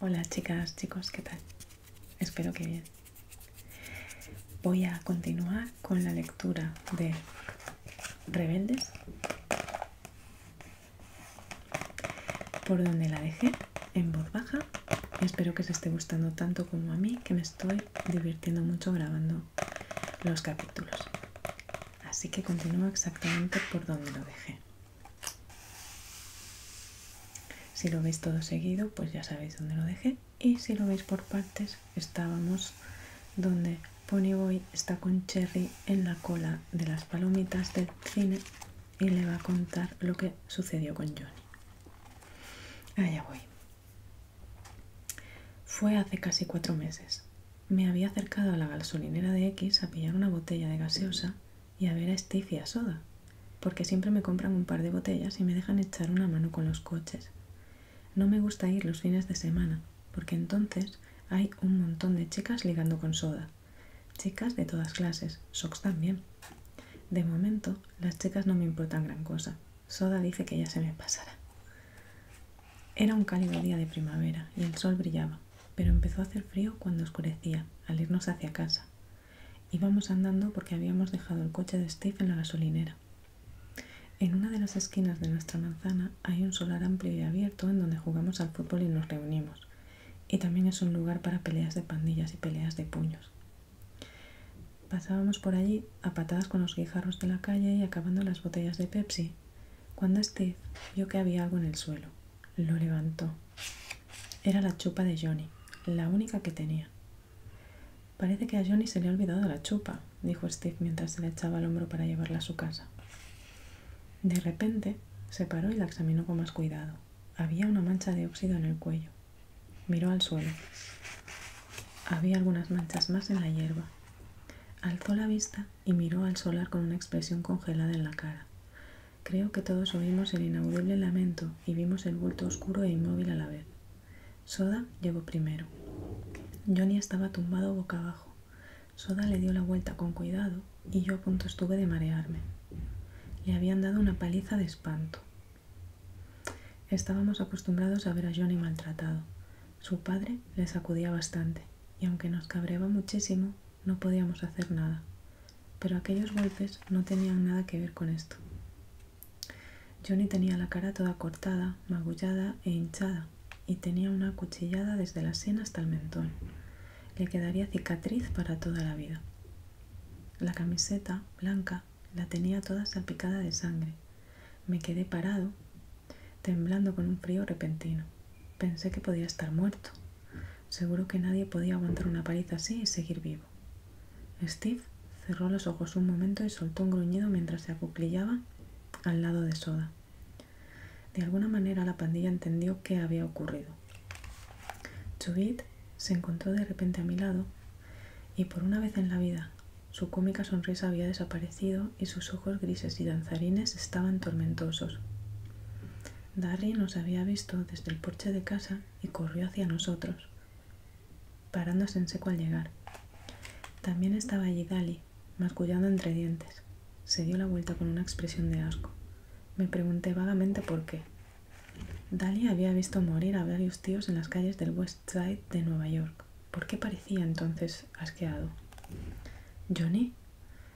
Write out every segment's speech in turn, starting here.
Hola chicas, chicos, ¿qué tal? Espero que bien. Voy a continuar con la lectura de Rebeldes, por donde la dejé en voz baja. Espero que se esté gustando tanto como a mí, que me estoy divirtiendo mucho grabando los capítulos. Así que continúo exactamente por donde lo dejé. Si lo veis todo seguido, pues ya sabéis dónde lo dejé. Y si lo veis por partes, estábamos donde Ponyboy está con Cherry en la cola de las palomitas del cine y le va a contar lo que sucedió con Johnny. Allá voy. Fue hace casi cuatro meses. Me había acercado a la gasolinera de X a pillar una botella de gaseosa y a ver a Steve y a Soda, porque siempre me compran un par de botellas y me dejan echar una mano con los coches. No me gusta ir los fines de semana, porque entonces hay un montón de chicas ligando con Soda. Chicas de todas clases, Socks también. De momento, las chicas no me importan gran cosa. Soda dice que ya se me pasará. Era un cálido día de primavera y el sol brillaba, pero empezó a hacer frío cuando oscurecía, al irnos hacia casa. Íbamos andando porque habíamos dejado el coche de Steve en la gasolinera. En una de las esquinas de nuestra manzana hay un solar amplio y abierto en donde jugamos al fútbol y nos reunimos, y también es un lugar para peleas de pandillas y peleas de puños. Pasábamos por allí a patadas con los guijarros de la calle y acabando las botellas de Pepsi, cuando Steve vio que había algo en el suelo. Lo levantó. Era la chupa de Johnny, la única que tenía. Parece que a Johnny se le ha olvidado la chupa, dijo Steve mientras se le echaba al hombro para llevarla a su casa. De repente se paró y la examinó con más cuidado. Había una mancha de óxido en el cuello. Miró al suelo. Había algunas manchas más en la hierba. Alzó la vista y miró al solar con una expresión congelada en la cara. Creo que todos oímos el inaudible lamento y vimos el bulto oscuro e inmóvil a la vez. Soda llegó primero. Johnny estaba tumbado boca abajo. Soda le dio la vuelta con cuidado y yo a punto estuve de marearme. Le habían dado una paliza de espanto. Estábamos acostumbrados a ver a Johnny maltratado. Su padre le sacudía bastante, y aunque nos cabreaba muchísimo, no podíamos hacer nada. Pero aquellos golpes no tenían nada que ver con esto. Johnny tenía la cara toda cortada, magullada e hinchada, y tenía una cuchillada desde la sien hasta el mentón. Le quedaría cicatriz para toda la vida. La camiseta blanca la tenía toda salpicada de sangre. Me quedé parado temblando con un frío repentino. Pensé que podía estar muerto. Seguro que nadie podía aguantar una paliza así y seguir vivo. Steve cerró los ojos un momento y soltó un gruñido mientras se acuclillaba al lado de Soda. De alguna manera la pandilla entendió qué había ocurrido. Chubit se encontró de repente a mi lado y por una vez en la vida su cómica sonrisa había desaparecido y sus ojos grises y danzarines estaban tormentosos. Dali nos había visto desde el porche de casa y corrió hacia nosotros, parándose en seco al llegar. También estaba allí Dali, mascullando entre dientes. Se dio la vuelta con una expresión de asco. Me pregunté vagamente por qué. Dali había visto morir a varios tíos en las calles del West Side de Nueva York. ¿Por qué parecía entonces asqueado? Johnny.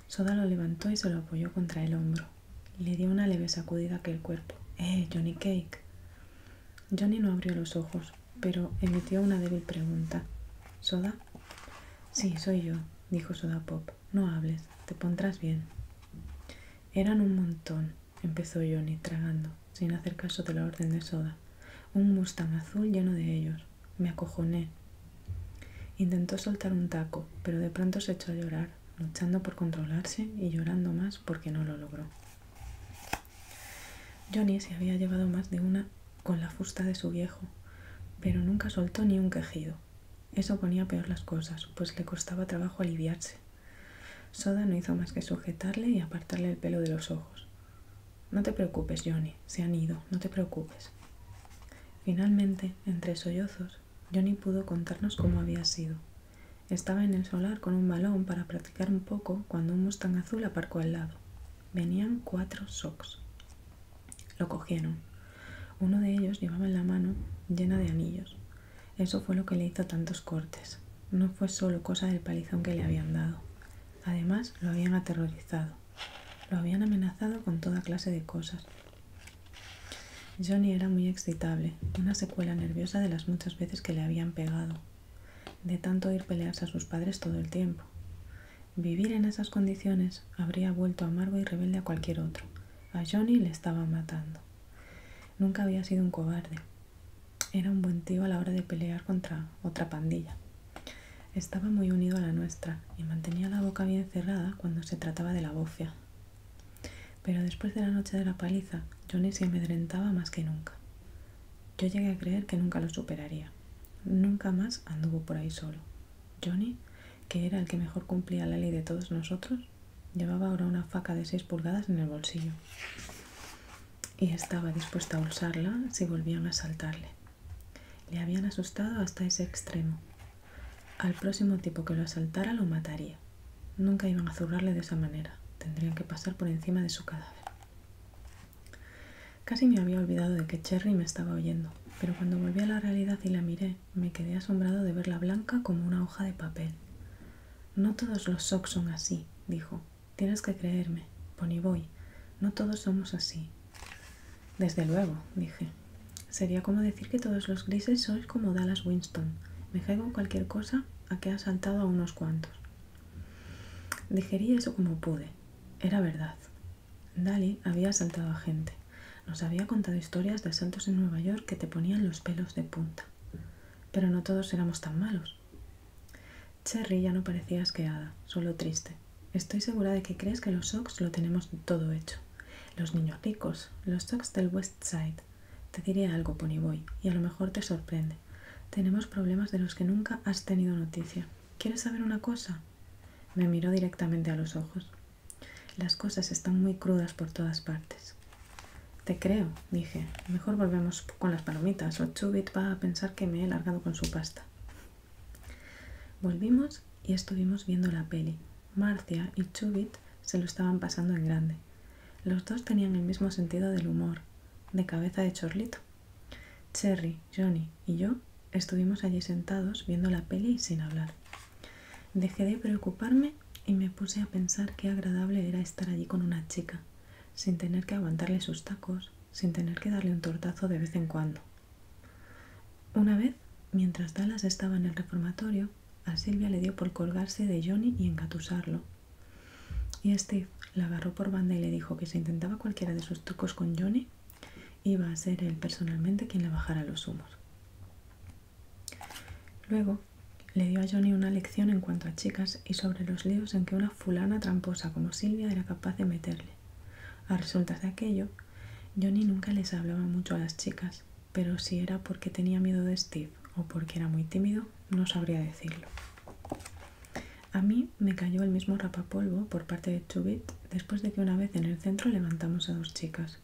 Soda lo levantó y se lo apoyó contra el hombro. Le dio una leve sacudida a aquel cuerpo. ¡Eh, Johnny Cake! Johnny no abrió los ojos, pero emitió una débil pregunta. ¿Soda? Sí, soy yo, dijo Soda Pop. No hables, te pondrás bien. Eran un montón, empezó Johnny, tragando, sin hacer caso de la orden de Soda. Un Mustang azul lleno de ellos. Me acojoné. Intentó soltar un taco, pero de pronto se echó a llorar, luchando por controlarse y llorando más porque no lo logró. Johnny se había llevado más de una con la fusta de su viejo, pero nunca soltó ni un quejido. Eso ponía peor las cosas, pues le costaba trabajo aliviarse. Soda no hizo más que sujetarle y apartarle el pelo de los ojos. No te preocupes, Johnny, se han ido, no te preocupes. Finalmente, entre sollozos, Johnny pudo contarnos cómo había sido. Estaba en el solar con un balón para practicar un poco cuando un mustang azul aparcó al lado. Venían cuatro socks. Lo cogieron. Uno de ellos llevaba en la mano llena de anillos. Eso fue lo que le hizo tantos cortes. No fue solo cosa del palizón que le habían dado. Además, lo habían aterrorizado. Lo habían amenazado con toda clase de cosas. Johnny era muy excitable, una secuela nerviosa de las muchas veces que le habían pegado, de tanto ir pelearse a sus padres todo el tiempo. Vivir en esas condiciones habría vuelto amargo y rebelde a cualquier otro. A Johnny le estaba matando. Nunca había sido un cobarde. Era un buen tío a la hora de pelear contra otra pandilla. Estaba muy unido a la nuestra y mantenía la boca bien cerrada cuando se trataba de la bofia. Pero después de la noche de la paliza, Johnny se amedrentaba más que nunca. Yo llegué a creer que nunca lo superaría. Nunca más anduvo por ahí solo. Johnny, que era el que mejor cumplía la ley de todos nosotros, llevaba ahora una faca de seis pulgadas en el bolsillo y estaba dispuesta a usarla si volvían a saltarle. Le habían asustado hasta ese extremo. Al próximo tipo que lo asaltara lo mataría. Nunca iban a zurrarle de esa manera. Tendrían que pasar por encima de su cadáver. Casi me había olvidado de que Cherry me estaba oyendo, pero cuando volví a la realidad y la miré, me quedé asombrado de verla blanca como una hoja de papel. No todos los socks son así, dijo. Tienes que creerme, Ponyboy. No todos somos así. Desde luego, dije. Sería como decir que todos los grises sois como Dallas Winston. Me caigo en cualquier cosa a que ha saltado a unos cuantos. Dijería eso como pude. Era verdad. Dali había asaltado a gente. Nos había contado historias de asaltos en Nueva York que te ponían los pelos de punta. Pero no todos éramos tan malos. Cherry ya no parecía asqueada, solo triste. Estoy segura de que crees que los Socks lo tenemos todo hecho. Los niños ricos, los Socks del West Side. Te diré algo, Ponyboy, y a lo mejor te sorprende. Tenemos problemas de los que nunca has tenido noticia. ¿Quieres saber una cosa? Me miró directamente a los ojos. Las cosas están muy crudas por todas partes. Te creo, dije. Mejor volvemos con las palomitas o Chubit va a pensar que me he largado con su pasta. Volvimos y estuvimos viendo la peli. Marcia y Chubit se lo estaban pasando en grande. Los dos tenían el mismo sentido del humor, de cabeza de chorlito. Cherry, Johnny y yo estuvimos allí sentados viendo la peli y sin hablar. Dejé de preocuparme y me puse a pensar qué agradable era estar allí con una chica, sin tener que aguantarle sus tacos, sin tener que darle un tortazo de vez en cuando. Una vez, mientras Dallas estaba en el reformatorio, a Silvia le dio por colgarse de Johnny y encatusarlo Y Steve la agarró por banda y le dijo que si intentaba cualquiera de sus trucos con Johnny, iba a ser él personalmente quien le bajara los humos. Luego, le dio a Johnny una lección en cuanto a chicas y sobre los líos en que una fulana tramposa como Silvia era capaz de meterle. A resultas de aquello, Johnny nunca les hablaba mucho a las chicas, pero si era porque tenía miedo de Steve o porque era muy tímido, no sabría decirlo. A mí me cayó el mismo rapapolvo por parte de Chubit después de que una vez en el centro levantamos a dos chicas.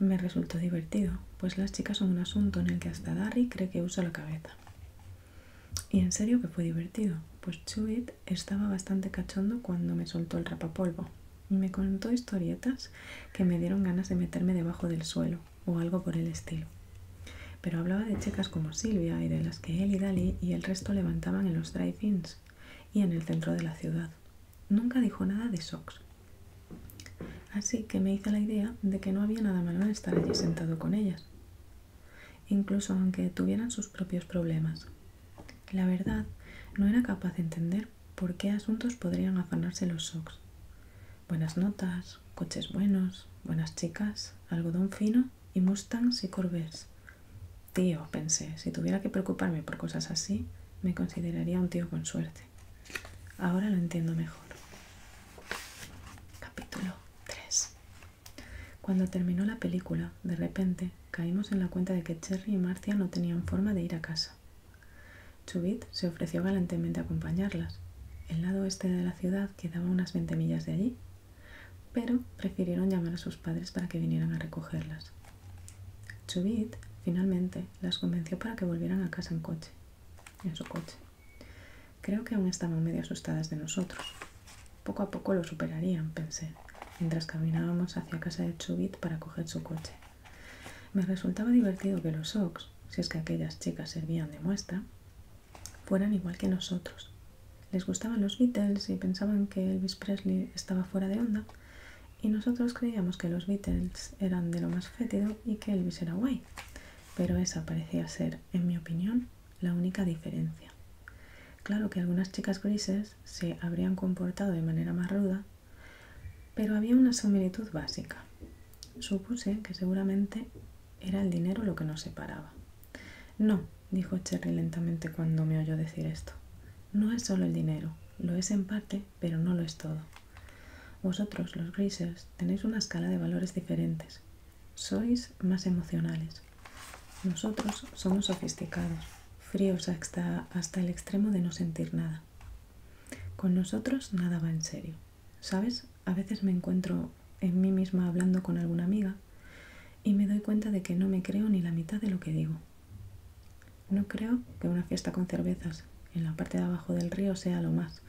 Me resultó divertido, pues las chicas son un asunto en el que hasta Darry cree que usa la cabeza. Y en serio que fue divertido, pues Chubit estaba bastante cachondo cuando me soltó el rapapolvo y me contó historietas que me dieron ganas de meterme debajo del suelo o algo por el estilo. Pero hablaba de chicas como Silvia y de las que él y Dali y el resto levantaban en los drive-ins y en el centro de la ciudad. Nunca dijo nada de Sox. Así que me hice la idea de que no había nada malo en estar allí sentado con ellas incluso aunque tuvieran sus propios problemas. La verdad, no era capaz de entender por qué asuntos podrían afanarse los Sox. Buenas notas, coches buenos, buenas chicas, algodón fino y mustangs y corvettes. Tío, pensé, si tuviera que preocuparme por cosas así, me consideraría un tío con suerte. Ahora lo entiendo mejor. Capítulo 3. Cuando terminó la película, de repente caímos en la cuenta de que Cherry y Marcia no tenían forma de ir a casa. Chubit se ofreció galantemente a acompañarlas. El lado este de la ciudad quedaba unas 20 millas de allí, pero prefirieron llamar a sus padres para que vinieran a recogerlas. Chubit finalmente las convenció para que volvieran a casa en coche, en su coche. Creo que aún estaban medio asustadas de nosotros, poco a poco lo superarían, pensé, mientras caminábamos hacia casa de Chubit para coger su coche. Me resultaba divertido que los Ox, si es que aquellas chicas servían de muestra, fueran igual que nosotros. Les gustaban los Beatles y pensaban que Elvis Presley estaba fuera de onda, y nosotros creíamos que los Beatles eran de lo más fétido y que Elvis era guay. Pero esa parecía ser, en mi opinión, la única diferencia. Claro que algunas chicas grises se habrían comportado de manera más ruda, pero había una similitud básica. Supuse que seguramente era el dinero lo que nos separaba. No, dijo Cherry lentamente cuando me oyó decir esto. No es solo el dinero, lo es en parte, pero no lo es todo. Vosotros, los grises, tenéis una escala de valores diferentes. Sois más emocionales. Nosotros somos sofisticados, fríos hasta, el extremo de no sentir nada. Con nosotros nada va en serio. ¿Sabes? A veces me encuentro en mí misma hablando con alguna amiga y me doy cuenta de que no me creo ni la mitad de lo que digo. No creo que una fiesta con cervezas en la parte de abajo del río sea lo más,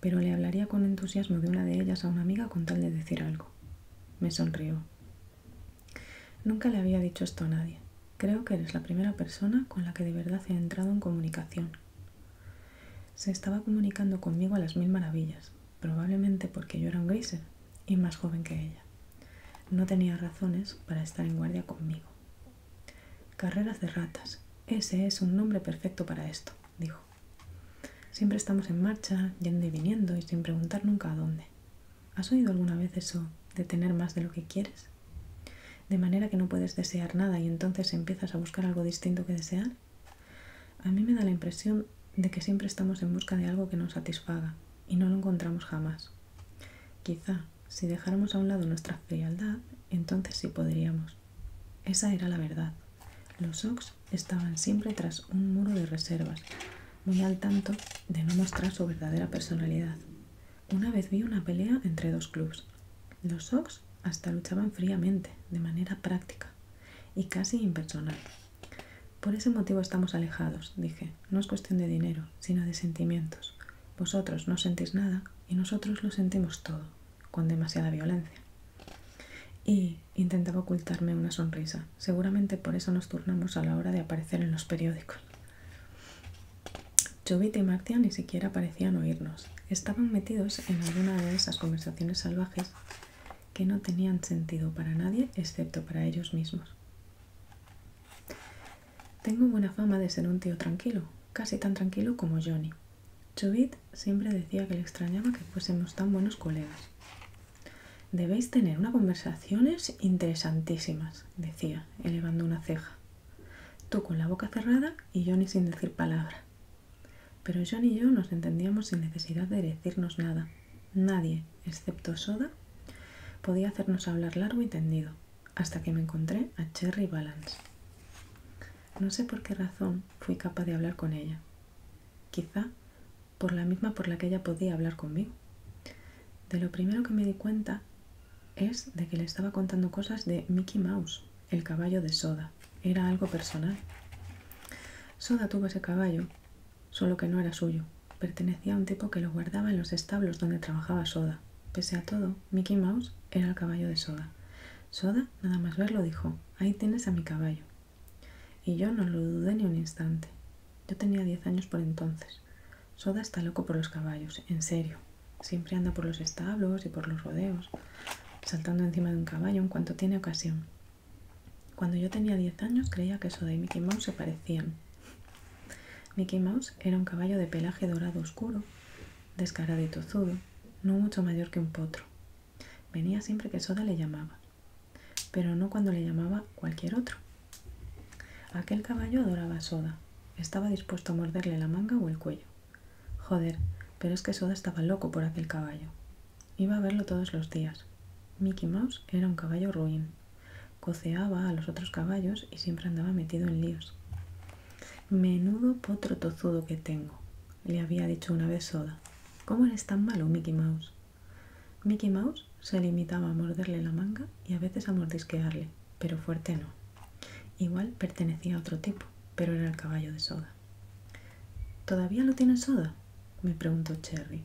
pero le hablaría con entusiasmo de una de ellas a una amiga con tal de decir algo. Me sonrió. Nunca le había dicho esto a nadie. Creo que eres la primera persona con la que de verdad he entrado en comunicación. Se estaba comunicando conmigo a las mil maravillas, probablemente porque yo era un griser y más joven que ella. No tenía razones para estar en guardia conmigo. Carreras de ratas. Ese es un nombre perfecto para esto, dijo. Siempre estamos en marcha, yendo y viniendo y sin preguntar nunca a dónde. ¿Has oído alguna vez eso de tener más de lo que quieres? De manera que no puedes desear nada y entonces empiezas a buscar algo distinto que desear. A mí me da la impresión de que siempre estamos en busca de algo que nos satisfaga y no lo encontramos jamás. Quizá si dejáramos a un lado nuestra frialdad, entonces sí podríamos. Esa era la verdad. Los estaban siempre tras un muro de reservas, muy al tanto de no mostrar su verdadera personalidad. Una vez vi una pelea entre dos clubs. Los Sox hasta luchaban fríamente, de manera práctica y casi impersonal. Por ese motivo estamos alejados, dije. No es cuestión de dinero, sino de sentimientos. Vosotros no sentís nada y nosotros lo sentimos todo, con demasiada violencia. Y intentaba ocultarme una sonrisa. Seguramente por eso nos turnamos a la hora de aparecer en los periódicos. Chubit y Martia ni siquiera parecían oírnos. Estaban metidos en alguna de esas conversaciones salvajes que no tenían sentido para nadie excepto para ellos mismos. Tengo buena fama de ser un tío tranquilo, casi tan tranquilo como Johnny. Chubit siempre decía que le extrañaba que fuésemos tan buenos colegas. Debéis tener unas conversaciones interesantísimas, decía, elevando una ceja. Tú con la boca cerrada y Johnny sin decir palabra. Pero Johnny y yo nos entendíamos sin necesidad de decirnos nada. Nadie, excepto Soda, podía hacernos hablar largo y tendido, hasta que me encontré a Cherry Valance. No sé por qué razón fui capaz de hablar con ella. Quizá por la misma por la que ella podía hablar conmigo. De lo primero que me di cuenta es de que le estaba contando cosas de Mickey Mouse, el caballo de Soda. Era algo personal. Soda tuvo ese caballo, solo que no era suyo. Pertenecía a un tipo que lo guardaba en los establos donde trabajaba Soda. Pese a todo, Mickey Mouse era el caballo de Soda. Soda, nada más verlo, dijo, ahí tienes a mi caballo. Y yo no lo dudé ni un instante. Yo tenía diez años por entonces. Soda está loco por los caballos, en serio. Siempre anda por los establos y por los rodeos, saltando encima de un caballo en cuanto tiene ocasión. Cuando yo tenía diez años creía que Soda y Mickey Mouse se parecían. Mickey Mouse era un caballo de pelaje dorado oscuro, descarado y tozudo, no mucho mayor que un potro. Venía siempre que Soda le llamaba pero no cuando le llamaba cualquier otro. Aquel caballo adoraba a Soda, estaba dispuesto a morderle la manga o el cuello. Joder, pero es que Soda estaba loco por aquel caballo. Iba a verlo todos los días. Mickey Mouse era un caballo ruin. Coceaba a los otros caballos y siempre andaba metido en líos. Menudo potro tozudo que tengo, le había dicho una vez Soda. ¿Cómo eres tan malo, Mickey Mouse? Mickey Mouse se limitaba a morderle la manga y a veces a mordisquearle, pero fuerte no. Igual pertenecía a otro tipo, pero era el caballo de soda. ¿Todavía lo tiene soda? me preguntó Cherry.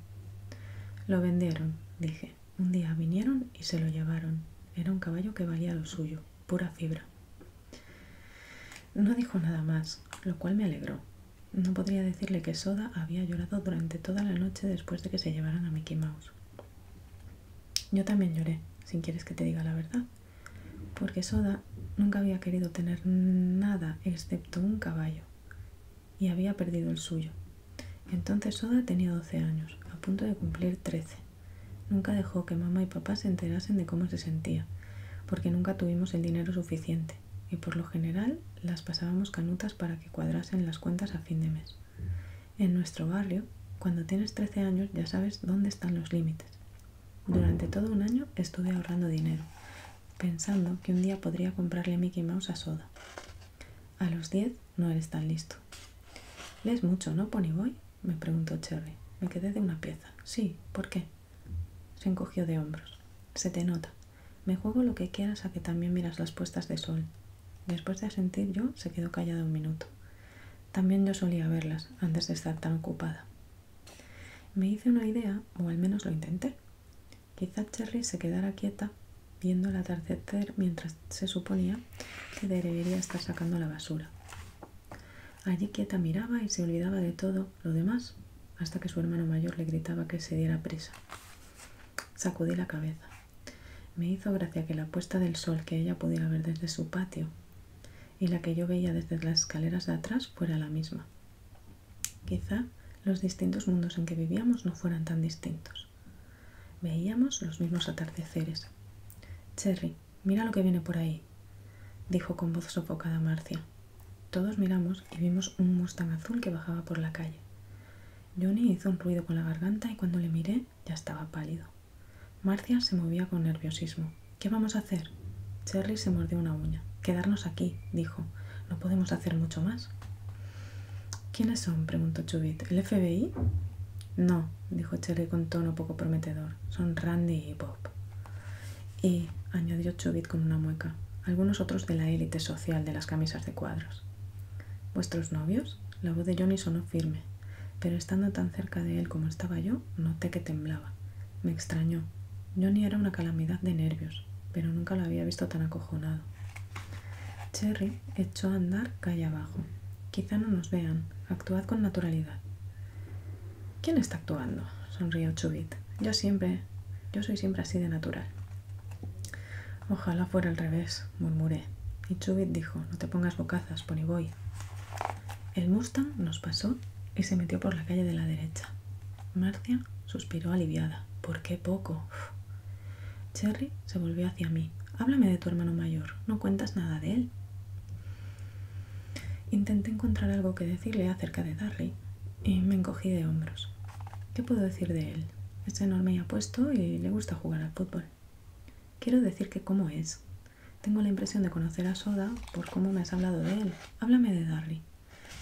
Lo vendieron, dije. Un día vinieron y se lo llevaron. Era un caballo que valía lo suyo, pura fibra. No dijo nada más, lo cual me alegró, no podría decirle que Soda había llorado durante toda la noche después de que se llevaran a Mickey Mouse. Yo también lloré, si quieres que te diga la verdad, porque Soda nunca había querido tener nada excepto un caballo y había perdido el suyo. Entonces Soda tenía 12 años, a punto de cumplir 13. Nunca dejó que mamá y papá se enterasen de cómo se sentía, porque nunca tuvimos el dinero suficiente y por lo general las pasábamos canutas para que cuadrasen las cuentas a fin de mes. En nuestro barrio, cuando tienes 13 años ya sabes dónde están los límites. Durante todo un año estuve ahorrando dinero, pensando que un día podría comprarle Mickey Mouse a Soda. A los 10 no eres tan listo. ¿Lees mucho, no, Pony me preguntó Cherry. Me quedé de una pieza. Sí, ¿por qué? Se encogió de hombros. Se te nota. Me juego lo que quieras a que también miras las puestas de sol. Después de asentir yo, se quedó callada un minuto. También yo solía verlas antes de estar tan ocupada. Me hice una idea, o al menos lo intenté. Quizá Cherry se quedara quieta viendo el atardecer mientras se suponía que debería estar sacando la basura. Allí quieta miraba y se olvidaba de todo lo demás, hasta que su hermano mayor le gritaba que se diera prisa. Sacudí la cabeza. Me hizo gracia que la puesta del sol que ella pudiera ver desde su patio y la que yo veía desde las escaleras de atrás fuera la misma. Quizá los distintos mundos en que vivíamos no fueran tan distintos. Veíamos los mismos atardeceres. Cherry, mira lo que viene por ahí, dijo con voz sofocada Marcia. Todos miramos y vimos un mustang azul que bajaba por la calle. Johnny hizo un ruido con la garganta y cuando le miré ya estaba pálido. Marcia se movía con nerviosismo. ¿Qué vamos a hacer? Cherry se mordió una uña. Quedarnos aquí, dijo. No podemos hacer mucho más. ¿Quiénes son? preguntó Chubit. ¿El FBI? No, dijo Cherry con tono poco prometedor. Son Randy y Bob. Y, añadió Chubit con una mueca, algunos otros de la élite social de las camisas de cuadros. ¿Vuestros novios? La voz de Johnny sonó firme, pero estando tan cerca de él como estaba yo, noté que temblaba. Me extrañó. Johnny era una calamidad de nervios, pero nunca lo había visto tan acojonado. Cherry echó a andar calle abajo. Quizá no nos vean. Actuad con naturalidad. ¿Quién está actuando? sonrió Chubit. Yo siempre. Yo soy siempre así de natural. Ojalá fuera al revés, murmuré. Y Chubit dijo, no te pongas bocazas, ponyboy. El Mustang nos pasó y se metió por la calle de la derecha. Marcia suspiró aliviada. ¿Por qué poco? Cherry se volvió hacia mí. Háblame de tu hermano mayor. No cuentas nada de él. Intenté encontrar algo que decirle acerca de Darry y me encogí de hombros. ¿Qué puedo decir de él? Es enorme y apuesto y le gusta jugar al fútbol. Quiero decir que cómo es. Tengo la impresión de conocer a Soda por cómo me has hablado de él. Háblame de Darry.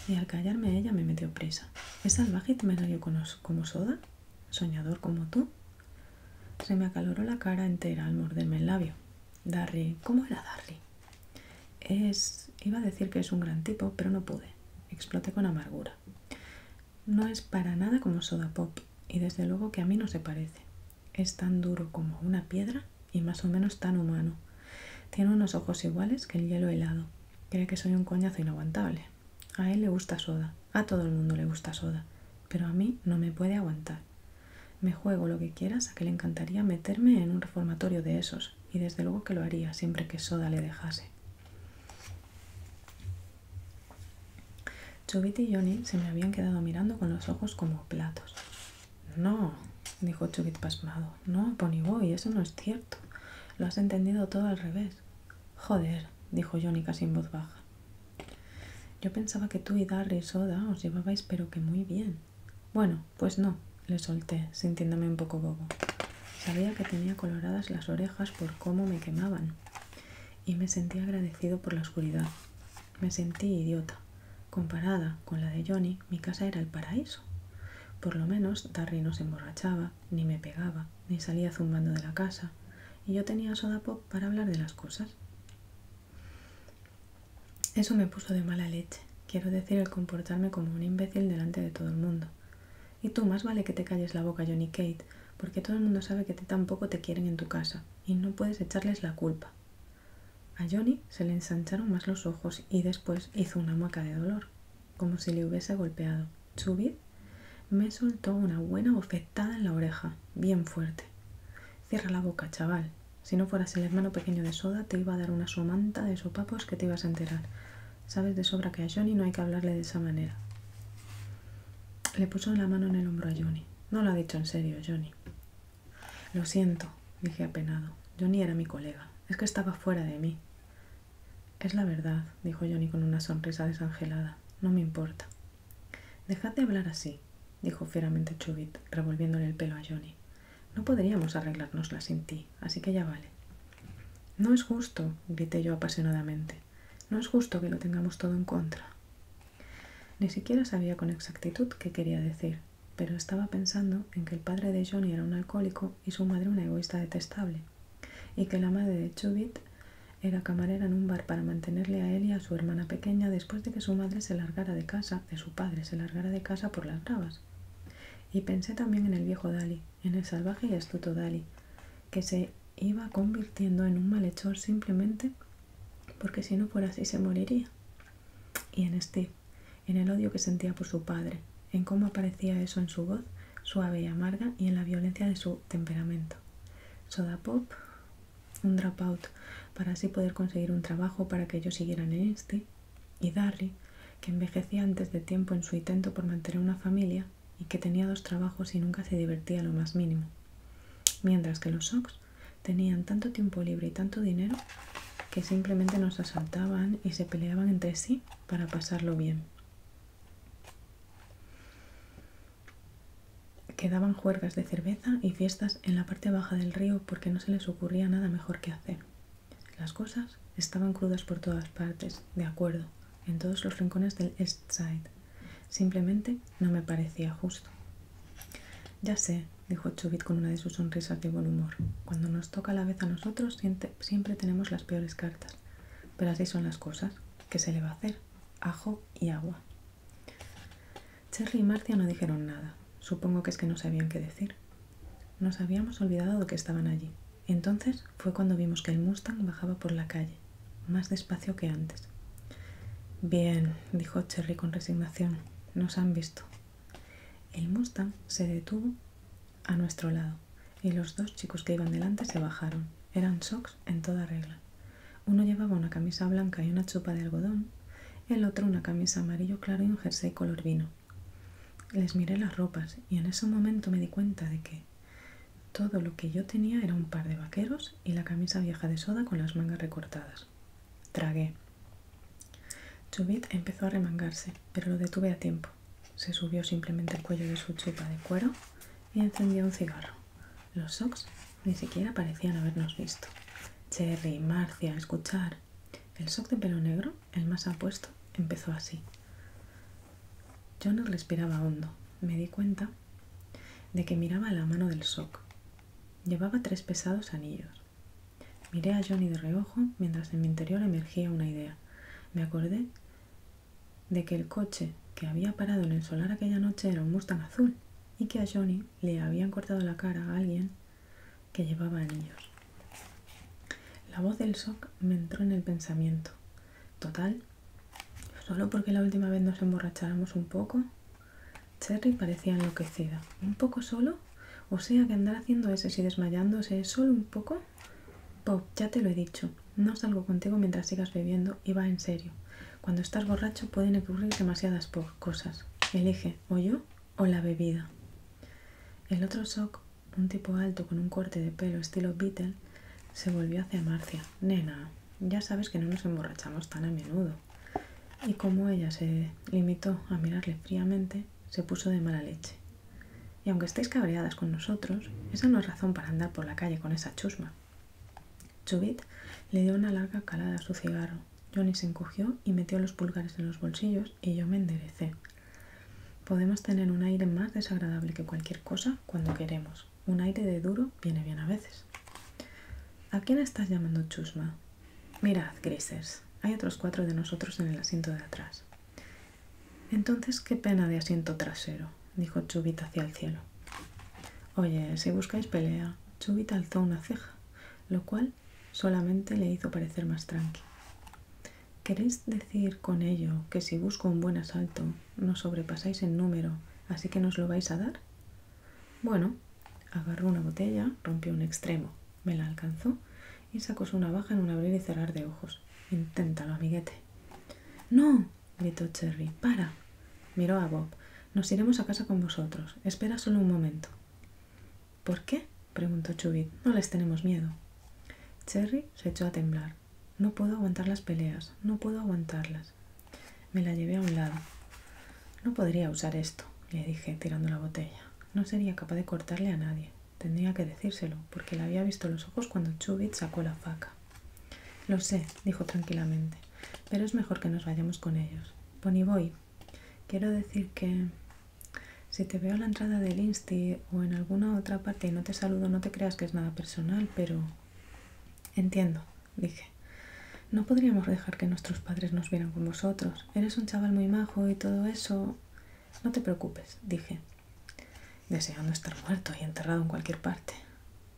Y al callarme ella me metió presa. ¿Es salvaje y te me salió como Soda? ¿Soñador como tú? Se me acaloró la cara entera al morderme el labio. Darry, ¿cómo era Darry? Es... iba a decir que es un gran tipo, pero no pude. Exploté con amargura. No es para nada como Soda Pop y desde luego que a mí no se parece. Es tan duro como una piedra y más o menos tan humano. Tiene unos ojos iguales que el hielo helado. Cree que soy un coñazo inaguantable. A él le gusta Soda, a todo el mundo le gusta Soda, pero a mí no me puede aguantar. Me juego lo que quieras a que le encantaría meterme en un reformatorio de esos, y desde luego que lo haría siempre que Soda le dejase. Chubit y Johnny se me habían quedado mirando con los ojos como platos. No, dijo Chubit pasmado. No, Ponyboy, eso no es cierto. Lo has entendido todo al revés. Joder, dijo Johnny casi en voz baja. Yo pensaba que tú y Darry Soda os llevabais pero que muy bien. Bueno, pues no, le solté, sintiéndome un poco bobo. Sabía que tenía coloradas las orejas por cómo me quemaban y me sentí agradecido por la oscuridad. Me sentí idiota. Comparada con la de Johnny, mi casa era el paraíso. Por lo menos Darry no se emborrachaba, ni me pegaba, ni salía zumbando de la casa, y yo tenía soda pop para hablar de las cosas. Eso me puso de mala leche, quiero decir el comportarme como un imbécil delante de todo el mundo. Y tú más vale que te calles la boca, Johnny Kate, porque todo el mundo sabe que te tampoco te quieren en tu casa y no puedes echarles la culpa. A Johnny se le ensancharon más los ojos y después hizo una mueca de dolor, como si le hubiese golpeado. Subid me soltó una buena bofetada en la oreja, bien fuerte. Cierra la boca, chaval. Si no fueras el hermano pequeño de Soda, te iba a dar una somanta de sopapos que te ibas a enterar. Sabes de sobra que a Johnny no hay que hablarle de esa manera. Le puso la mano en el hombro a Johnny. No lo ha dicho en serio, Johnny. Lo siento, dije apenado. Johnny era mi colega. Es que estaba fuera de mí. Es la verdad, dijo Johnny con una sonrisa desangelada. No me importa. Dejad de hablar así, dijo fieramente Chubit, revolviéndole el pelo a Johnny. No podríamos arreglárnosla sin ti, así que ya vale. No es justo, grité yo apasionadamente. No es justo que lo tengamos todo en contra. Ni siquiera sabía con exactitud qué quería decir, pero estaba pensando en que el padre de Johnny era un alcohólico y su madre una egoísta detestable, y que la madre de Chubit era camarera en un bar para mantenerle a él y a su hermana pequeña después de que su madre se largara de casa, de su padre se largara de casa por las rabas. Y pensé también en el viejo Dali, en el salvaje y astuto Dali, que se iba convirtiendo en un malhechor simplemente porque si no por así se moriría. Y en Steve, en el odio que sentía por su padre, en cómo aparecía eso en su voz, suave y amarga, y en la violencia de su temperamento. Soda Pop, un dropout para así poder conseguir un trabajo para que ellos siguieran en este, y Darry, que envejecía antes de tiempo en su intento por mantener una familia, y que tenía dos trabajos y nunca se divertía lo más mínimo. Mientras que los Sox tenían tanto tiempo libre y tanto dinero que simplemente nos asaltaban y se peleaban entre sí para pasarlo bien. Quedaban juergas de cerveza y fiestas en la parte baja del río porque no se les ocurría nada mejor que hacer. Las cosas estaban crudas por todas partes, de acuerdo, en todos los rincones del East Side. Simplemente no me parecía justo. Ya sé, dijo Chubit con una de sus sonrisas de buen humor. Cuando nos toca la vez a nosotros, siempre tenemos las peores cartas. Pero así son las cosas. ¿Qué se le va a hacer? Ajo y agua. Cherry y Marcia no dijeron nada. Supongo que es que no sabían qué decir. Nos habíamos olvidado de que estaban allí. Entonces fue cuando vimos que el Mustang bajaba por la calle, más despacio que antes. Bien, dijo Cherry con resignación, nos han visto. El Mustang se detuvo a nuestro lado y los dos chicos que iban delante se bajaron. Eran socks en toda regla. Uno llevaba una camisa blanca y una chupa de algodón, el otro una camisa amarillo claro y un jersey color vino. Les miré las ropas y en ese momento me di cuenta de que todo lo que yo tenía era un par de vaqueros y la camisa vieja de soda con las mangas recortadas. Tragué. Chubit empezó a remangarse, pero lo detuve a tiempo. Se subió simplemente el cuello de su chupa de cuero y encendió un cigarro. Los socks ni siquiera parecían habernos visto. Cherry, Marcia, escuchar. El sock de pelo negro, el más apuesto, empezó así. Johnny respiraba hondo. Me di cuenta de que miraba la mano del SOC. Llevaba tres pesados anillos. Miré a Johnny de reojo mientras en mi interior emergía una idea. Me acordé de que el coche que había parado en el solar aquella noche era un Mustang azul y que a Johnny le habían cortado la cara a alguien que llevaba anillos. La voz del SOC me entró en el pensamiento. Total, solo porque la última vez nos emborracháramos un poco, Cherry parecía enloquecida. ¿Un poco solo? O sea que andar haciendo eso y desmayándose solo un poco. Pop. ya te lo he dicho, no salgo contigo mientras sigas bebiendo y va en serio. Cuando estás borracho pueden ocurrir demasiadas cosas. Elige o yo o la bebida. El otro shock, un tipo alto con un corte de pelo estilo Beatle, se volvió hacia Marcia. Nena, ya sabes que no nos emborrachamos tan a menudo. Y como ella se limitó a mirarle fríamente, se puso de mala leche. Y aunque estéis cabreadas con nosotros, esa no es razón para andar por la calle con esa chusma. Chubit le dio una larga calada a su cigarro. Johnny se encogió y metió los pulgares en los bolsillos y yo me enderecé. Podemos tener un aire más desagradable que cualquier cosa cuando queremos. Un aire de duro viene bien a veces. ¿A quién estás llamando chusma? Mirad, Grises, hay otros cuatro de nosotros en el asiento de atrás. Entonces, qué pena de asiento trasero, dijo Chubit hacia el cielo. Oye, si buscáis pelea, Chubit alzó una ceja, lo cual solamente le hizo parecer más tranqui. ¿Queréis decir con ello que si busco un buen asalto, no sobrepasáis en número, así que nos lo vais a dar. Bueno, agarró una botella, rompió un extremo, me la alcanzó y sacó su navaja en un abrir y cerrar de ojos. Inténtalo, amiguete. No, gritó Cherry, para. Miró a Bob. Nos iremos a casa con vosotros. Espera solo un momento. ¿Por qué? preguntó Chubit. No les tenemos miedo. Cherry se echó a temblar. No puedo aguantar las peleas, no puedo aguantarlas. Me la llevé a un lado. No podría usar esto, le dije, tirando la botella. No sería capaz de cortarle a nadie. Tendría que decírselo, porque le había visto los ojos cuando Chubit sacó la faca. Lo sé, dijo tranquilamente, pero es mejor que nos vayamos con ellos. Ponyboy, quiero decir que... Si te veo a la entrada del Insti o en alguna otra parte y no te saludo, no te creas que es nada personal, pero Entiendo, dije. No podríamos dejar que nuestros padres nos vieran con vosotros. Eres un chaval muy majo y todo eso. No te preocupes, dije, deseando estar muerto y enterrado en cualquier parte,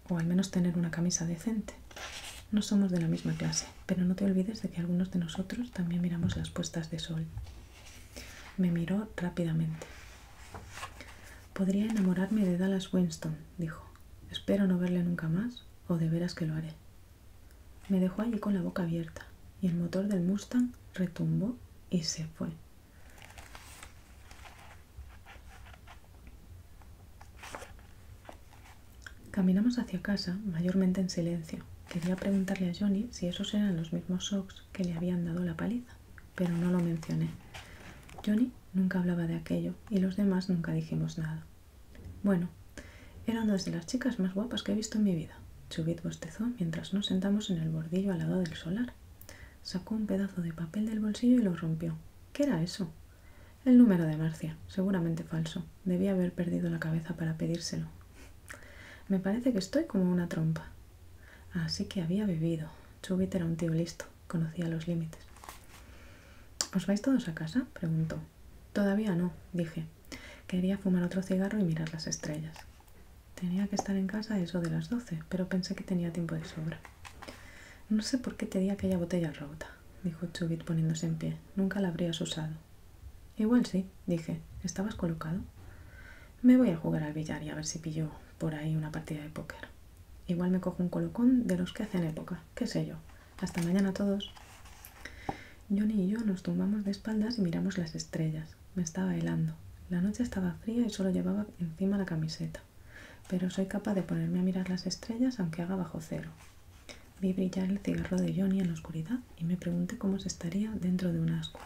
o al menos tener una camisa decente. No somos de la misma clase, pero no te olvides de que algunos de nosotros también miramos las puestas de sol. Me miró rápidamente. Podría enamorarme de Dallas Winston, dijo. Espero no verle nunca más, o de veras que lo haré. Me dejó allí con la boca abierta, y el motor del Mustang retumbó y se fue. Caminamos hacia casa, mayormente en silencio. Quería preguntarle a Johnny si esos eran los mismos socks que le habían dado la paliza, pero no lo mencioné. Johnny nunca hablaba de aquello y los demás nunca dijimos nada. Bueno, eran una de las chicas más guapas que he visto en mi vida. Chubit bostezó mientras nos sentamos en el bordillo al lado del solar. Sacó un pedazo de papel del bolsillo y lo rompió. ¿Qué era eso? El número de Marcia, seguramente falso. Debía haber perdido la cabeza para pedírselo. Me parece que estoy como una trompa. Así que había bebido. Chubit era un tío listo. Conocía los límites. ¿Os vais todos a casa? preguntó. Todavía no, dije. Quería fumar otro cigarro y mirar las estrellas. Tenía que estar en casa eso de las doce, pero pensé que tenía tiempo de sobra. No sé por qué te di aquella botella rota, dijo Chubit poniéndose en pie. Nunca la habrías usado. Igual sí, dije. ¿Estabas colocado? Me voy a jugar al billar y a ver si pillo por ahí una partida de póker. Igual me cojo un colocón de los que hacen época, qué sé yo. Hasta mañana todos. Johnny y yo nos tumbamos de espaldas y miramos las estrellas. Me estaba helando. La noche estaba fría y solo llevaba encima la camiseta. Pero soy capaz de ponerme a mirar las estrellas aunque haga bajo cero. Vi brillar el cigarro de Johnny en la oscuridad y me pregunté cómo se estaría dentro de un asco.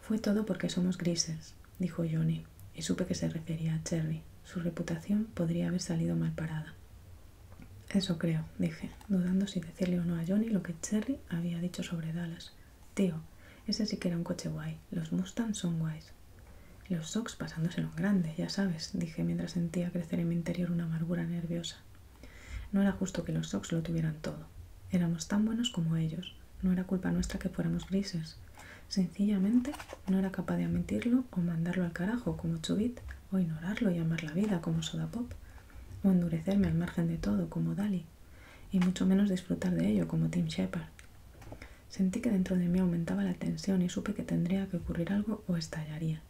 Fue todo porque somos grises, dijo Johnny y supe que se refería a Cherry. Su reputación podría haber salido mal parada. Eso creo, dije, dudando si decirle o no a Johnny lo que Cherry había dicho sobre Dallas. Tío, ese sí que era un coche guay. Los Mustangs son guays. Los Sox pasándose los grande, ya sabes, dije mientras sentía crecer en mi interior una amargura nerviosa. No era justo que los Sox lo tuvieran todo. Éramos tan buenos como ellos, no era culpa nuestra que fuéramos grises. Sencillamente no era capaz de admitirlo o mandarlo al carajo como Chubit, o ignorarlo y amar la vida como Soda Pop, o endurecerme al margen de todo como Dali, y mucho menos disfrutar de ello como Tim Shepard. Sentí que dentro de mí aumentaba la tensión y supe que tendría que ocurrir algo o estallaría.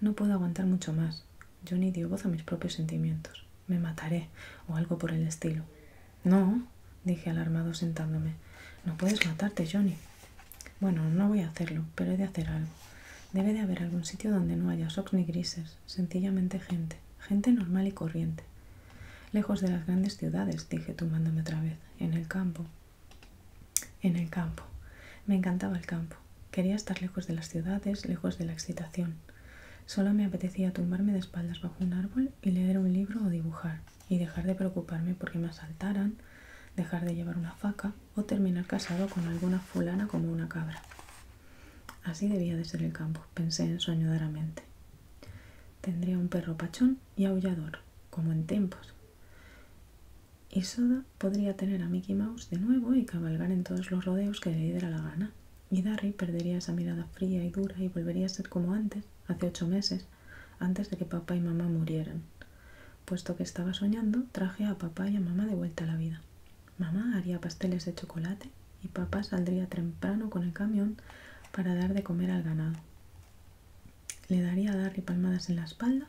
No puedo aguantar mucho más. yo ni dio voz a mis propios sentimientos me mataré o algo por el estilo. No, dije alarmado sentándome. No puedes matarte, Johnny. Bueno, no voy a hacerlo, pero he de hacer algo. Debe de haber algún sitio donde no haya socks ni grises, sencillamente gente, gente normal y corriente. Lejos de las grandes ciudades, dije tumbándome otra vez, en el campo. En el campo. Me encantaba el campo. Quería estar lejos de las ciudades, lejos de la excitación. Solo me apetecía tumbarme de espaldas bajo un árbol y leer un libro o dibujar, y dejar de preocuparme porque me asaltaran, dejar de llevar una faca o terminar casado con alguna fulana como una cabra. Así debía de ser el campo, pensé en ensoñadoramente. Tendría un perro pachón y aullador, como en tiempos. Y Soda podría tener a Mickey Mouse de nuevo y cabalgar en todos los rodeos que le diera la gana. Y Darry perdería esa mirada fría y dura y volvería a ser como antes, hace ocho meses, antes de que papá y mamá murieran. Puesto que estaba soñando, traje a papá y a mamá de vuelta a la vida. Mamá haría pasteles de chocolate y papá saldría temprano con el camión para dar de comer al ganado. Le daría a Darry palmadas en la espalda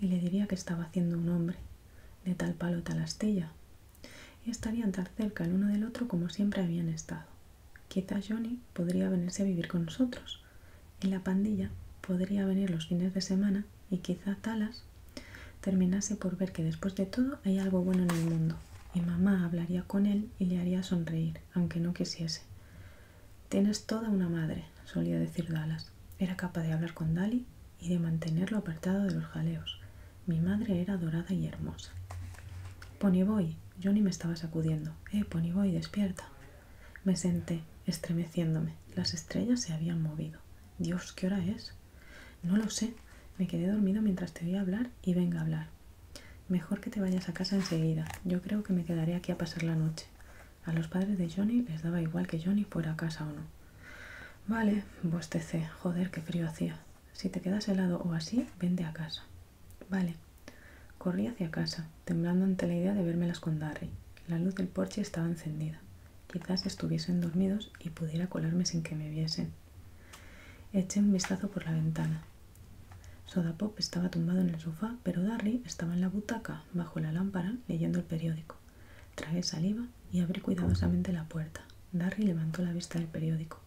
y le diría que estaba haciendo un hombre, de tal palo tal astilla, y estarían tan cerca el uno del otro como siempre habían estado. Quizá Johnny podría venirse a vivir con nosotros. Y la pandilla podría venir los fines de semana y quizá Talas terminase por ver que después de todo hay algo bueno en el mundo. Y mamá hablaría con él y le haría sonreír, aunque no quisiese. Tienes toda una madre, solía decir Dallas. Era capaz de hablar con Dali y de mantenerlo apartado de los jaleos. Mi madre era dorada y hermosa. Ponyboy, Johnny me estaba sacudiendo. Eh, pues y despierta. Me senté, estremeciéndome. Las estrellas se habían movido. Dios, ¿qué hora es? No lo sé. Me quedé dormido mientras te a hablar y venga a hablar. Mejor que te vayas a casa enseguida. Yo creo que me quedaré aquí a pasar la noche. A los padres de Johnny les daba igual que Johnny fuera a casa o no. Vale, bostecé. Joder, qué frío hacía. Si te quedas helado o así, vende a casa. Vale. Corrí hacia casa, temblando ante la idea de vérmelas con Darry. La luz del porche estaba encendida. Quizás estuviesen dormidos y pudiera colarme sin que me viesen. Eché un vistazo por la ventana. Sodapop estaba tumbado en el sofá, pero Darry estaba en la butaca, bajo la lámpara, leyendo el periódico. Tragué saliva y abrí cuidadosamente la puerta. Darry levantó la vista del periódico.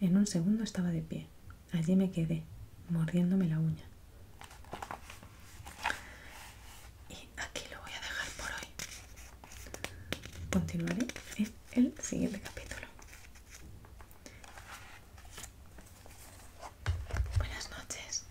En un segundo estaba de pie. Allí me quedé, mordiéndome la uña. Y aquí lo voy a dejar por hoy. Continuaré en el siguiente capítulo. Buenas noches.